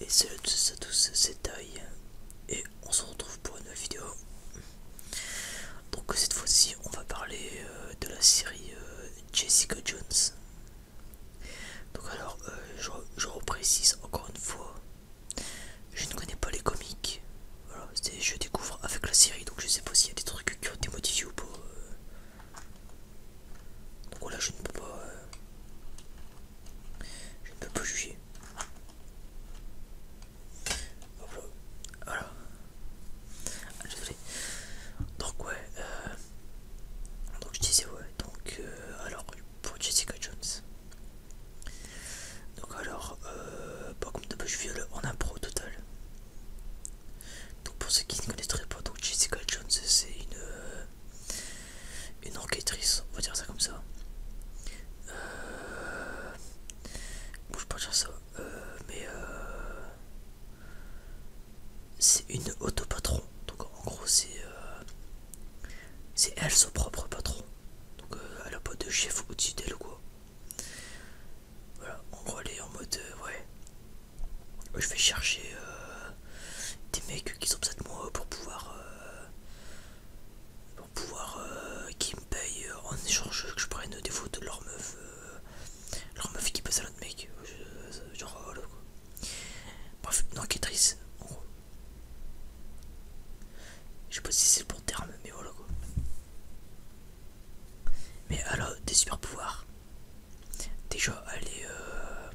Et salut à tous, à tous c'est Thaï, et on se retrouve pour une nouvelle vidéo. Donc cette fois-ci on va parler euh, de la série euh, Jessica Jones. Donc alors, euh, je, reprécise encore une fois, je ne connais pas les comics. Voilà, je découvre avec la série, donc je sais pas s'il y a des trucs qui ont été modifiés ou pas. Euh. Donc voilà, je ne peux pas, euh, je ne peux pas juger. Voilà. Ah, donc ouais. donc je disais ouais. Donc alors pour Jessica Jones. Donc alors, euh, pas comme de je suis en impro total. Donc pour ceux qui ne connaîtraient pas, donc Jessica Jones, c'est une euh, une enquêtrice, on va dire ça comme ça. Euh, bon, je peux pas dire ça, mais c'est une patron, Donc en gros, c'est c'est elle son propre patron. Donc euh, elle a pas de chef ou de d'elle ou quoi. Voilà, en gros elle est en mode euh, ouais. Je vais chercher euh, des mecs qui sont près de moi pour pouvoir. pour pouvoir qu'ils me payent en échange que je prenne des photos de leur meuf. leur meuf qui passe à l'autre mec. genre quoi. Bref, une enquêtrice en gros. Je sais pas si c'est le bon terme, mais voilà quoi. Mais alors, des super pouvoirs. Déjà, elle est, euh,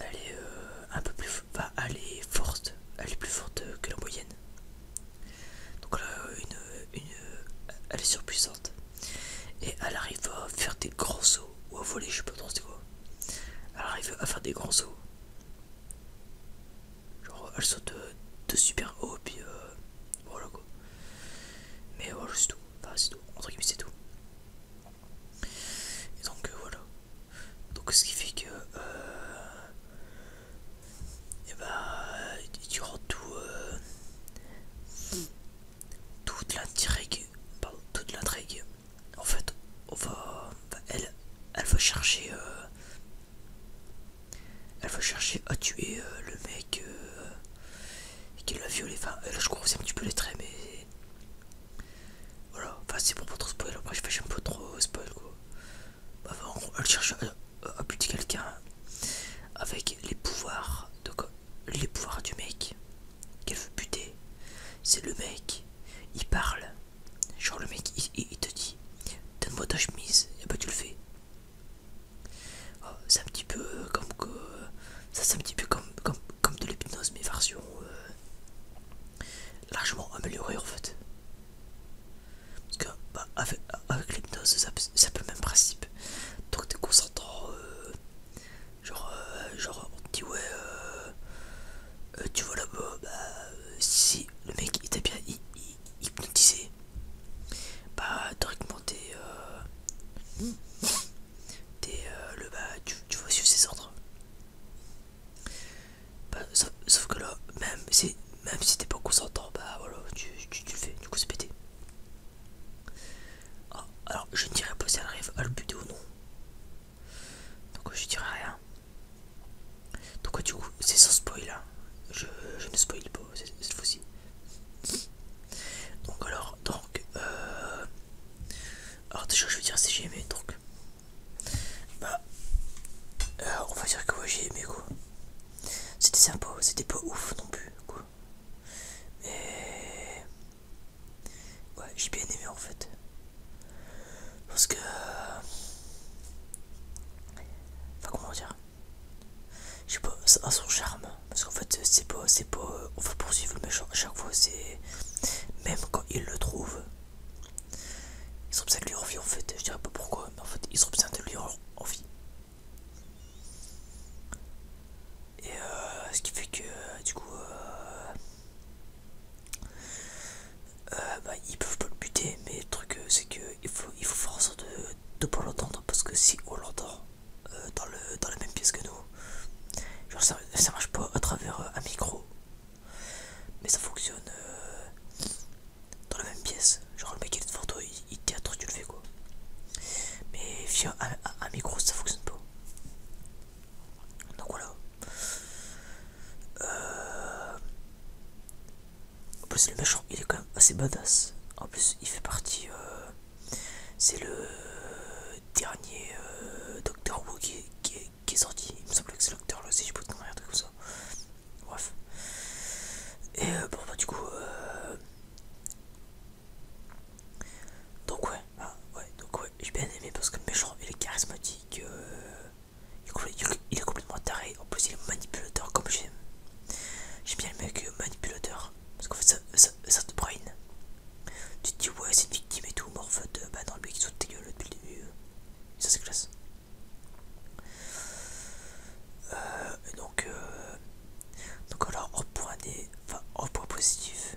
elle est euh, un peu plus, forte, elle est plus forte que la moyenne. Donc là, une, une, euh, elle est surpuissante et elle arrive à faire des gros sauts ou à voler, je sais pas trop c'est quoi. Elle arrive à faire des grands sauts. Genre elle saute de, super haut puis euh, voilà quoi. Mais voilà c'est tout, enfin c'est tout, entre guillemets c'est tout. Et donc euh, voilà. Donc ce qui fait que euh, et bah rends tout euh, toute l'intrigue, pardon, toute l'intrigue en fait, elle, elle va chercher, euh, elle chercher à tuer euh, le mec euh, qui l'a violé. Enfin, là, je crois que c'est un petit peu les traits, mais voilà. Enfin, c'est pour pas trop spoiler, Moi, je fais un peu trop spoil quoi. Bah, en gros elle cherche à, buter quelqu'un avec les pouvoirs de les pouvoirs du mec qu'elle veut buter. C'est le mec, il parle. Genre le mec il, te dit Donne-moi ta chemise, et bah tu le fais. Oh, c'est un petit peu euh, comme que. Ça c'est un petit peu comme, comme, de l'hypnose mais version euh, largement améliorée en fait. Parce que bah, avec, l'hypnose ça, un le même principe. Donc t'es concentrant euh, Genre, euh, genre on te dit ouais, euh, euh, tu vois là-bas, bah si le mec il t'a bien hypnotisé, bah directement t'es... le bah tu, vois sur ses ordres. Bah, sauf, que là, même si, même si t'es pas consentant, bah voilà, tu, le fais, du coup c'est pété. Ah, alors, je ne dirais pas si elle arrive à le buter ou non. Donc je dirais rien. Donc du coup, c'est sans spoil. Hein. Je, ne spoil pas cette fois-ci. Donc alors, donc... Euh... Alors déjà, je veux dire si j'ai aimé, donc... Bah... Euh, on va dire que moi j'ai aimé, e, quoi. C'était sympa, c'était pas ouf non plus, quoi. Mais... Ouais, j'ai bien aimé en fait. Parce que... Euh, enfin, comment dire Je sais pas, à son charme. Parce qu'en fait, c'est pas... c'est pas... On va poursuivre le méchant à chaque fois, c'est... Même quand il le trouve. Ils sont ça de lui envie en fait. Je dirais pas pourquoi, mais en fait, ils ont besoin de lui envie. Et euh, ce qui fait que, du coup... Euh, euh, bah, ils peuvent pas le buter, mais le truc euh, c'est que il faut, il faut faire en sorte de ne pas l'entendre parce que si on l'entend euh, dans, la même pièce que nous, genre ça, marche pas à travers un micro, mais ça fonctionne dans la même pièce. Genre le mec il est devant toi, il, théâtre, tu le fais quoi, mais via un micro ça fonctionne pas. Donc voilà. Euh... En plus le méchant il est quand même assez badass. En plus il fait partie... Euh, c'est le dernier euh, Docteur Who qui, est sorti. Il me semble que c'est le Docteur Who je peux te un truc comme ça. Bref. Et euh, bon bah du coup... Donc ouais, ah, ouais, donc ouais, j'ai bien aimé parce que le méchant il est charismatique, euh, il, est, complètement taré, en plus il est manipulateur comme j'aime. J'ai bien aimé que euh, manipulateur, parce qu'en fait ça, te brain. Tu te dis ouais c'est une victime et tout, mais en fait, euh, bah non, le mec ils sont dégueulasses depuis le début, ça c'est classe. donc, euh, donc alors point, des, point positif,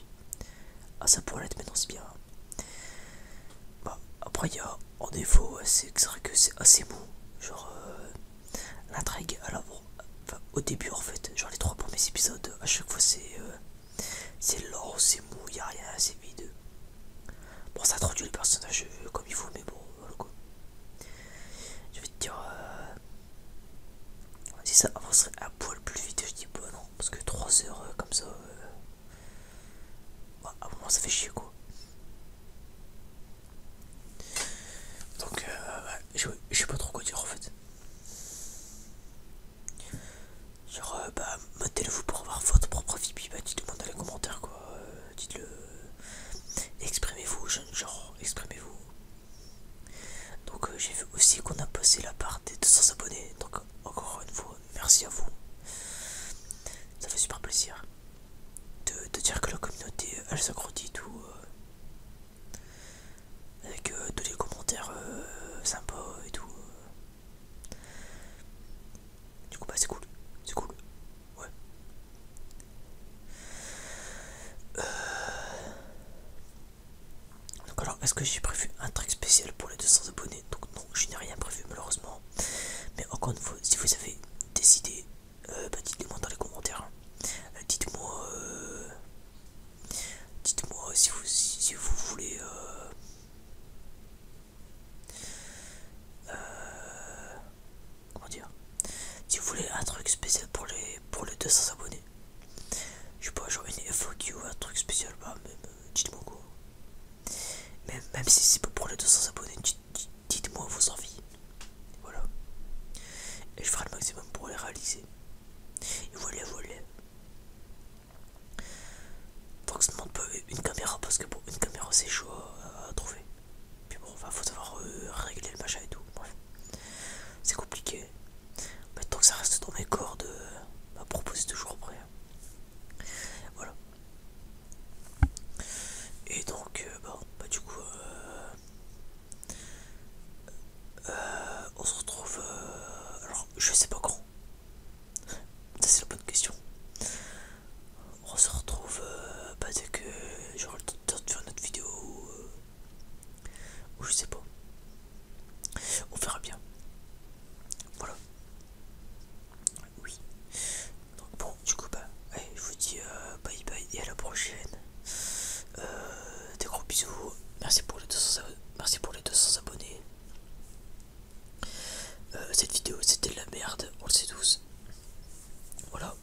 à Ah, ça pourrait l'être maintenant, c'est bien. Bah, après, il y a en défaut, c'est vrai que c'est assez mou Genre, euh, l'intrigue, alors au début en fait, genre les trois premiers épisodes, à chaque fois c'est euh, c'est c'est mou, il a rien, c'est vide. Bon, ça introduit le personnages euh, comme il faut, mais bon, voilà quoi. Je vais te dire, si ça avancerait un poil plus vite, je dis pas bah, non, parce que trois heures comme ça, à bah, un moment, ça fait chier quoi. Donc, euh, je, sais pas trop quoi dire en fait. Genre, euh, bah, le vous pour avoir votre propre vie, puis bah, dites-le-moi dans les commentaires quoi. Euh, dites-le. Exprimez-vous, genre, exprimez-vous. Donc, j'ai vu aussi qu'on a passé la part des 200 abonnés. Donc, encore une fois, merci à vous. Ça fait super plaisir de, dire que la communauté elle s'agrandit tout euh, avec euh, tous les commentaires euh, sympas et tout. Du coup, bah c'est cool, c'est cool, ouais. Donc alors, est-ce que j'ai prévu un truc spécial pour les 200 abonnés Donc non, je n'ai rien prévu malheureusement. Mais encore une fois, si vous avez des idées, euh, bah, dites le moi dans les commentaires. Hein. Euh, dites-moi, euh, dites-moi si vous, si, vous voulez. comment dire Si vous voulez un truc spécial pour les pour les 200 abonnés. Je sais pas, genre une FOQ, un truc spécial, bah même dites-moi quoi. Même, si c'est pour les 200 abonnés, dites-moi vos envies. Voilà. Et je ferai le maximum pour les réaliser. Et voilà, voilà. que ça demande pas une caméra parce que bon, une caméra c'est chaud à, trouver. Puis bon, va faut savoir euh, régler le machin et tout. Bref, c'est compliqué. Mais tant que ça reste dans mes cordes, euh, à proposer toujours après. Voilà. Et donc, euh, bon, bah du coup, euh, euh, on se retrouve. alors, je sais pas quand. Ça, c'est la bonne question. On se retrouve bah, dès que j'aurai le temps de faire notre vidéo ou, ou je sais pas. On fera bien. Voilà. Oui. Donc bon, du coup, bah, je vous dis euh, bye bye et à la prochaine. Euh, des gros bisous. Merci pour les 200, pour les abonnés. Euh, cette vidéo, c'était de la merde, on le sait tous. Voilà.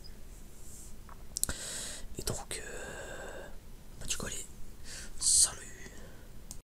Et donc, bah, du coup, allez, salut.